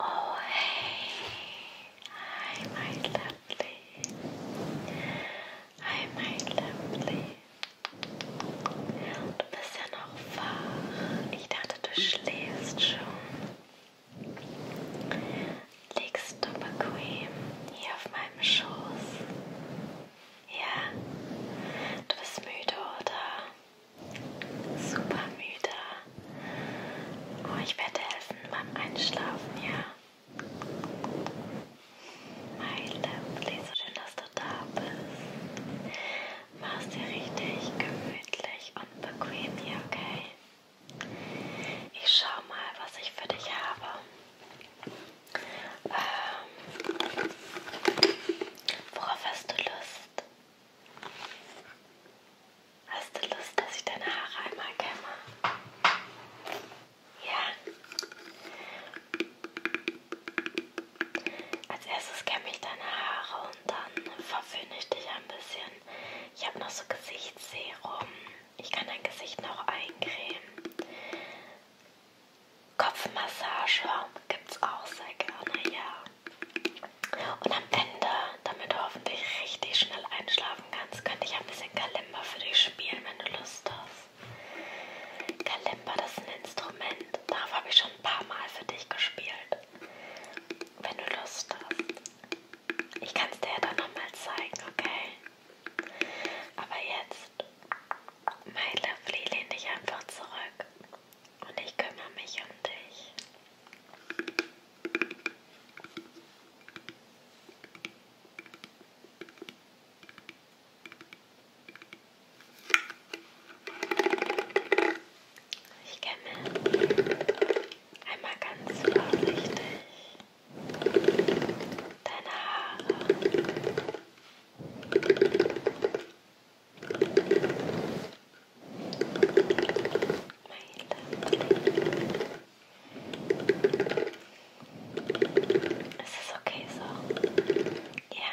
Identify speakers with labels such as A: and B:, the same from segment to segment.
A: Oh, hey, hi, my lovely. Hi, my lovely. aufwachen. Ich dachte, du schläfst schon. Liegst du bequem hier auf meinem Schoß? Ja? Du bist müde, oder? Super müde. Oh, ich werde helfen beim Einschlafen, ja? My lovely, so schön, dass du da bist. Mach's dir richtig gemütlich und bequem hier, okay? Ich schau mal, was ich für dich habe. Ähm, worauf hast du Lust? Hast du Lust, dass ich deine Haare einmal kämme? Ja? Als erstes kämme ich deine Haare und dann verwöhne ich dich ein bisschen. Ich habe noch so Gesichtsserum. Ich kann dein Gesicht noch eincremen. Kopfmassage gibt es auch sehr gerne, ja. Und am Ende, damit du hoffentlich richtig schnell einschlafen kannst, könnte ich ein bisschen Kalimba für dich spielen, wenn du Lust hast. Kalimba, das ist ein Instrument. Darauf habe ich schon schon ein paar Mal für dich gespielt. Wenn du Lust hast. Ich kann es dir ja dann nochmal zeigen, okay? Aber jetzt, my lovely, lehn dich einfach zurück. Und ich kümmere mich um dich. Ich kenne einmal ganz vorsichtig deine Haare. Meine es ist okay so. Ja.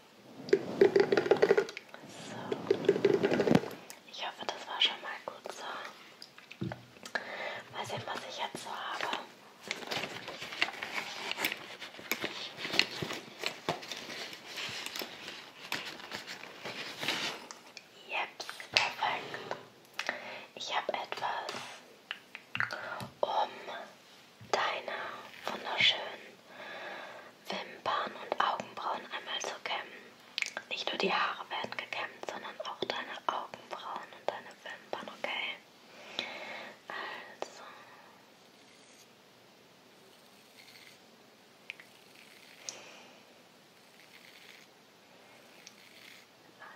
A: So. Ich hoffe, das war schon mal gut so. Mal sehen, was ich jetzt so habe. Jeps, perfekt. Ich habe etwas um deine wunderschönen Wimpern und Augenbrauen einmal zu kämmen. Nicht nur die Haare werden gekämmt, sondern auch deine Augenbrauen und deine Wimpern, okay? Also.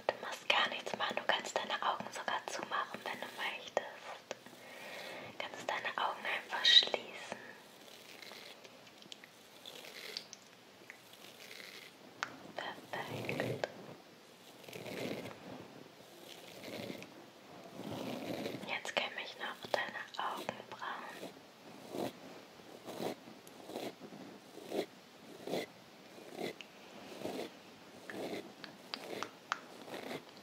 A: Du musst gar nichts machen, du kannst deine Augen sogar zumachen, wenn du möchtest. Kannst deine Augen einfach schließen. Perfekt. Jetzt kämme ich noch deine Augenbrauen.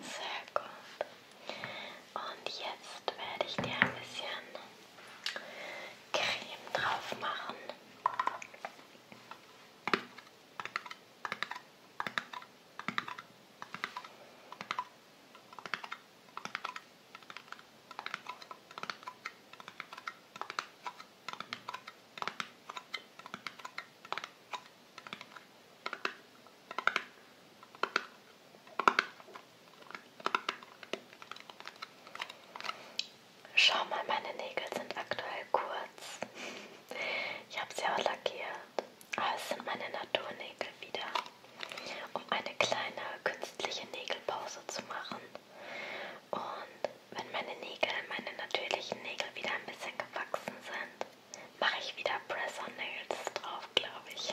A: Sehr gut. Und jetzt werde ich dir ein bisschen Creme drauf machen. Schau mal, meine Nägel sind aktuell kurz. Ich habe sie auch lackiert, aber ah, es sind meine Naturnägel wieder, um eine kleine künstliche Nägelpause zu machen. Und wenn meine Nägel, meine natürlichen Nägel wieder ein bisschen gewachsen sind, mache ich wieder Press-on-Nails drauf, glaube ich.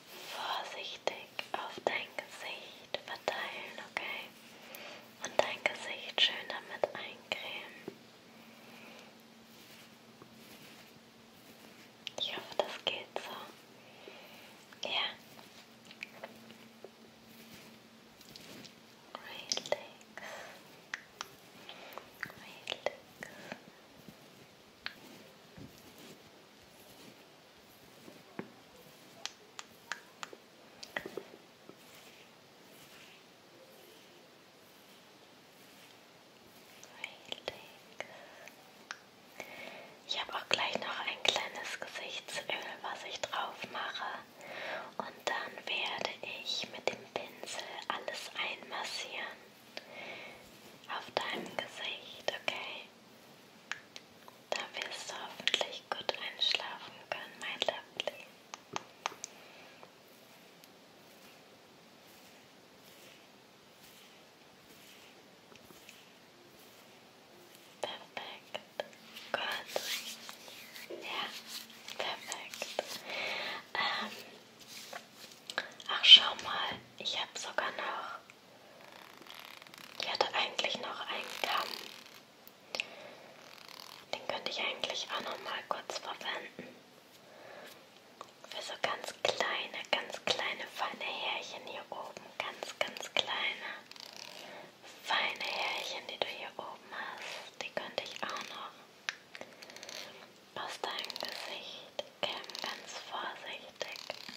A: vorsichtig auf dein Gesicht verteilen, okay? Und dein Gesicht schön damit eincremen. Ich hoffe, das geht so. Ja. Relax. Relax. Relax. Ich habe auch gleich noch ein kleines Gesichtsöl, was ich drauf mache. Und dann werde ich mit dem Pinsel alles einmassieren auf deinem Gesicht, okay? Da wirst du hoffentlich gut einschlafen können, mein Lovely. Perfekt. Gut. Ja, perfekt. Ähm, ach, schau mal, ich habe sogar noch ich hatte eigentlich noch einen Kamm. Den könnte ich eigentlich auch noch mal kurz verwenden. Für so ganz kleine, ganz kleine, feine Härchen hier oben. Ganz, ganz kleine, feine Härchen, die du hier oben hast. Die könnte ich auch noch aus deinem Gesicht kämmen. Ganz vorsichtig.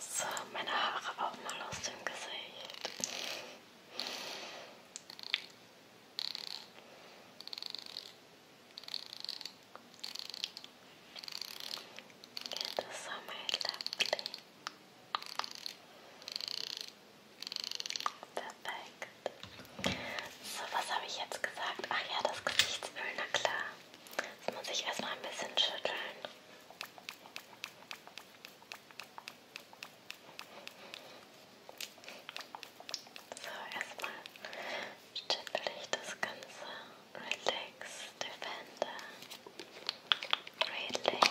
A: So, meine Haare auch mal aus dem Gesicht. Geht das so, mein Lovely? Perfekt. So, was habe ich jetzt gesagt? Ach ja, das Gesichtsöl, na klar. Das muss ich erstmal ein bisschen schütteln. So, erstmal schüttel ich das Ganze. Relax, Defender. Relax.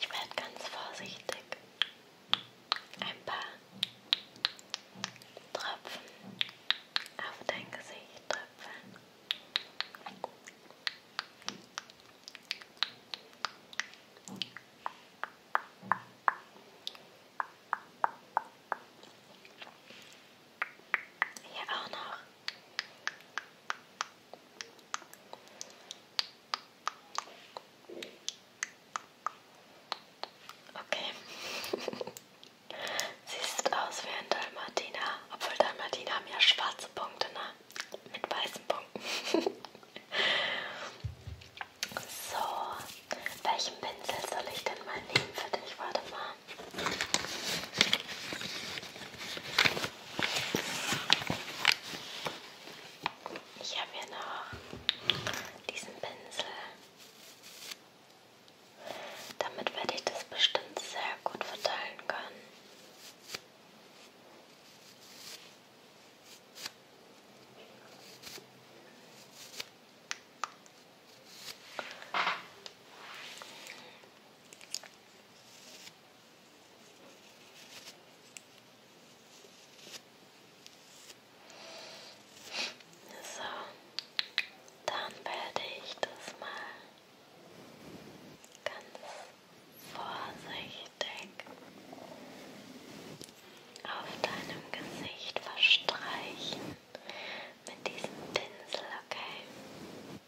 A: Ich werde ganz vorsichtig ein paar Tropfen auf dein Gesicht tröpfeln. Hier auch noch. Okay. Siehst aus wie ein Dalmatiner, obwohl Dalmatiner haben ja schwarze Punkte, ne? Mit weißen Punkten. so, welchen Pinsel soll ich denn mal nehmen für dich? Warte mal. Ich habe hier noch diesen Pinsel. Damit werde ich das bestimmt sehr gut verteilen können. So, dann werde ich das mal ganz vorsichtig auf deinem Gesicht verstreichen mit diesem Pinsel, okay?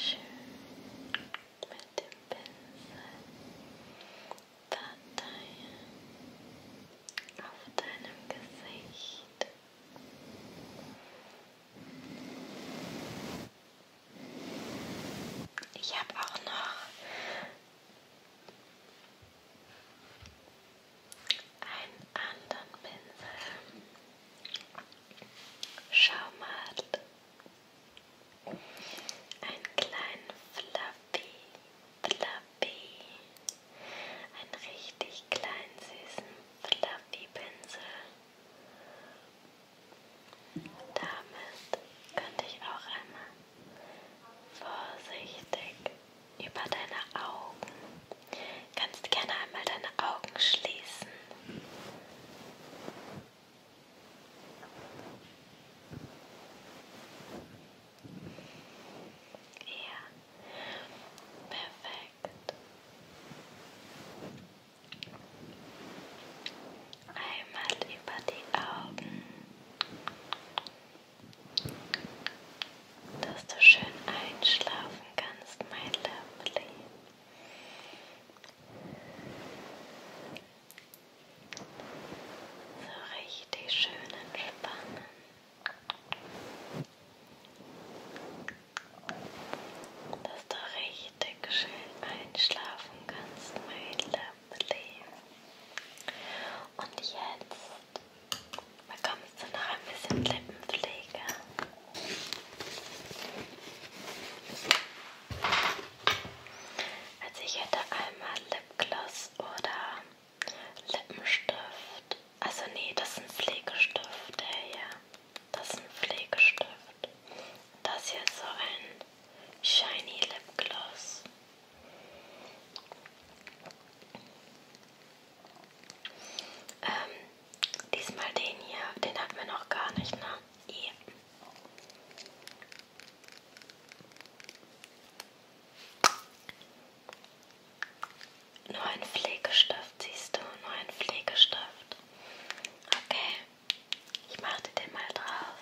A: Schön mit dem Pinsel Dateien auf deinem Gesicht. Ich habe auch noch einen anderen Pinsel. Schau mal. Einen kleinen Fluffy, Fluffy einen richtig kleinen, süßen Fluffy-Pinsel. Damit könnte ich auch einmal vorsichtig über deine Augen. Kannst gerne einmal deine Augen schließen. Ja, perfekt connected. Einmal über die Augen, dass du schön einschlafen kannst, mein Lovely. So richtig schön entspannen. Dass du richtig schön einschlafen kannst, mein Lovely. Und jetzt bekommst du noch ein bisschen Lippenpflege. Also ich hätte einmal Lipgloss oder Lippenstift. Also nee, das ist ein Pflegestift. Der hier. Das ist ein Pflegestift. Das hier ist so ein Shiny Lip Gloss. Ähm, diesmal den hier. Den hatten wir noch gar nicht, ne? Yeah. Nur ein Pflegestift, siehst du? Nur ein Pflegestift. Okay, ich mache dir den mal drauf.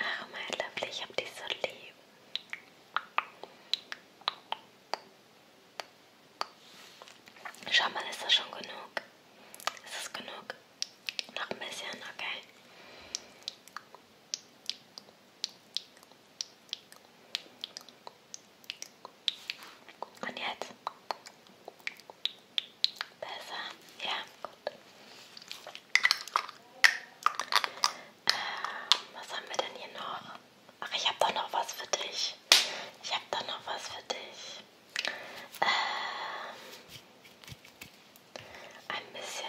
A: Ach, oh, mein Liebling, ich hab dich so lieb. Schau mal, ist das schon genug? Ist das genug? Noch ein bisschen, okay. Und jetzt? Besser? Ja, gut. Ähm, was haben wir denn hier noch? Ach, ich habe doch noch was für dich. Ich habe doch noch was für dich. Ähm, ein bisschen.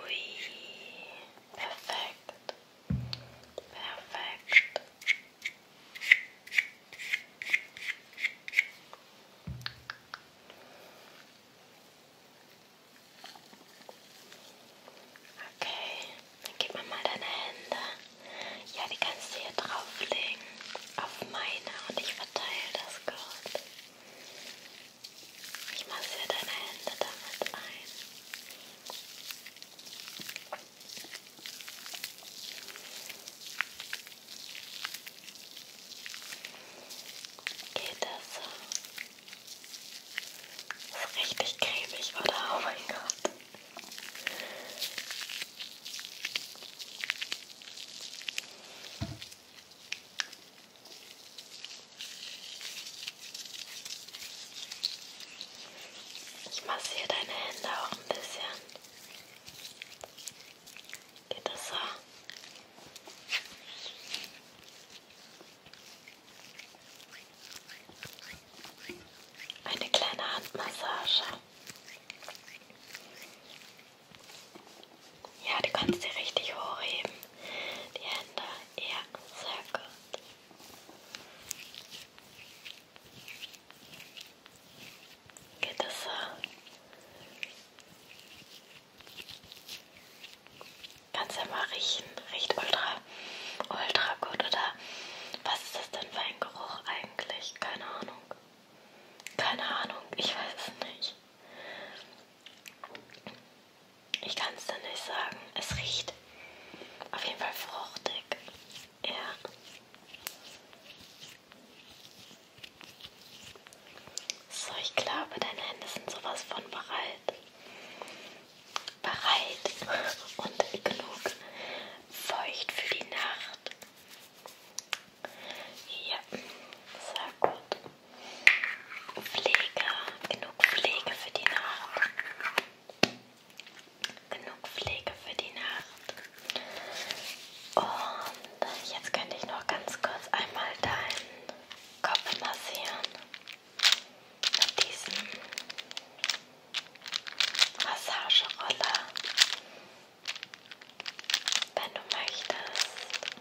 A: Ui, perfekt. Perfekt. Okay, dann gib mir mal deine Hände. Ja, die kannst du hier drauflegen. Auf meine und ich verteile das gut. Ich massiere deine Hände damit ein. Geht das so? Ist richtig cremig, oder? Oh mein Gott. Ich massiere deine Hände auch ein bisschen. Geht das so? Eine kleine Handmassage. Ja, du kannst sie richtig hochheben. Die Hände. Ja, sehr gut. Geht das so? Kannst ja mal riechen. Riecht ultra, ultra gut, oder? Was ist das denn für ein Geruch eigentlich? Keine Ahnung. Keine Ahnung, ich weiß es nicht. Ich kann es dir nicht sagen. Es riecht auf jeden Fall fruchtig. Ja. So, ich glaube, deine Hände sind sowas von bereit. Bereit und genug feucht für die Nacht. Ja, sehr gut. Pflege, genug Pflege für die Nacht. Genug Pflege für die Nacht. Und jetzt könnte ich noch ganz kurz einmal deinen Kopf massieren. Mit diesem Massageroller. Wenn du möchtest,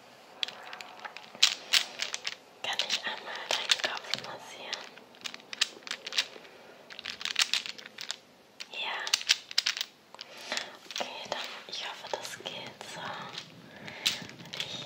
A: kann ich einmal deinen Kopf massieren. Ja. Okay, dann ich hoffe, das geht so. Ich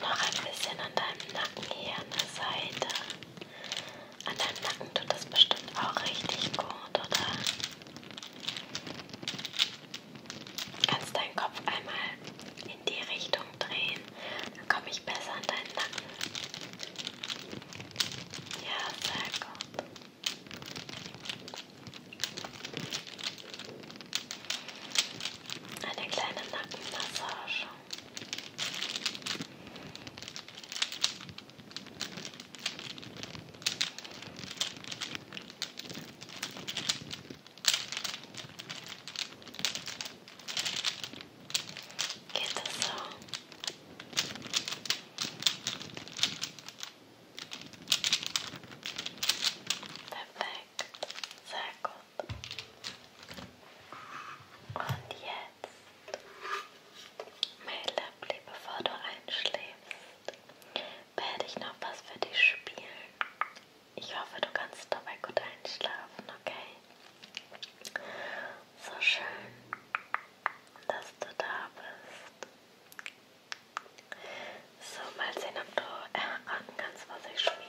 A: Noch ein bisschen an deinem Nacken hier an der Seite. An deinem Nacken tut das bestimmt auch richtig gut, oder? Kannst deinen Kopf einmal in die Richtung drehen, dann komme ich besser an deinen Nacken. Ja, sehr gut. Eine kleine Nackenmassage. Geht das so? Perfekt, sehr gut. Und jetzt, mein Liebling, bevor du einschläfst, werde ich noch was für dich spielen. Ich hoffe, du kannst dabei gut einschlafen, okay? So schön, dass du da bist. So, mal sehen, ob du erraten kannst, was ich spiele.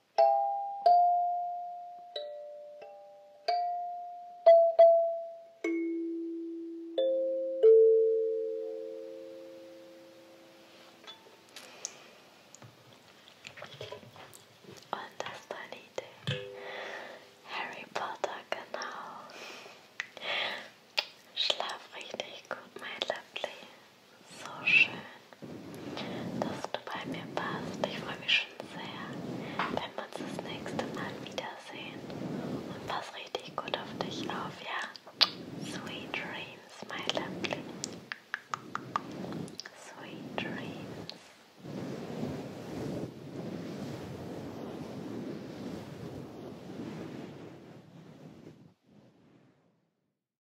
A: On the Harry Potter, genau. Schlaf richtig gut, mein Lovely. So schön, dass du bei mir warst. Ich freue mich schon sehr, wenn wir uns das nächste Mal wiedersehen. Und pass richtig gut auf dich auf, ja? Sweet dreams, my lovely. Sweet dreams.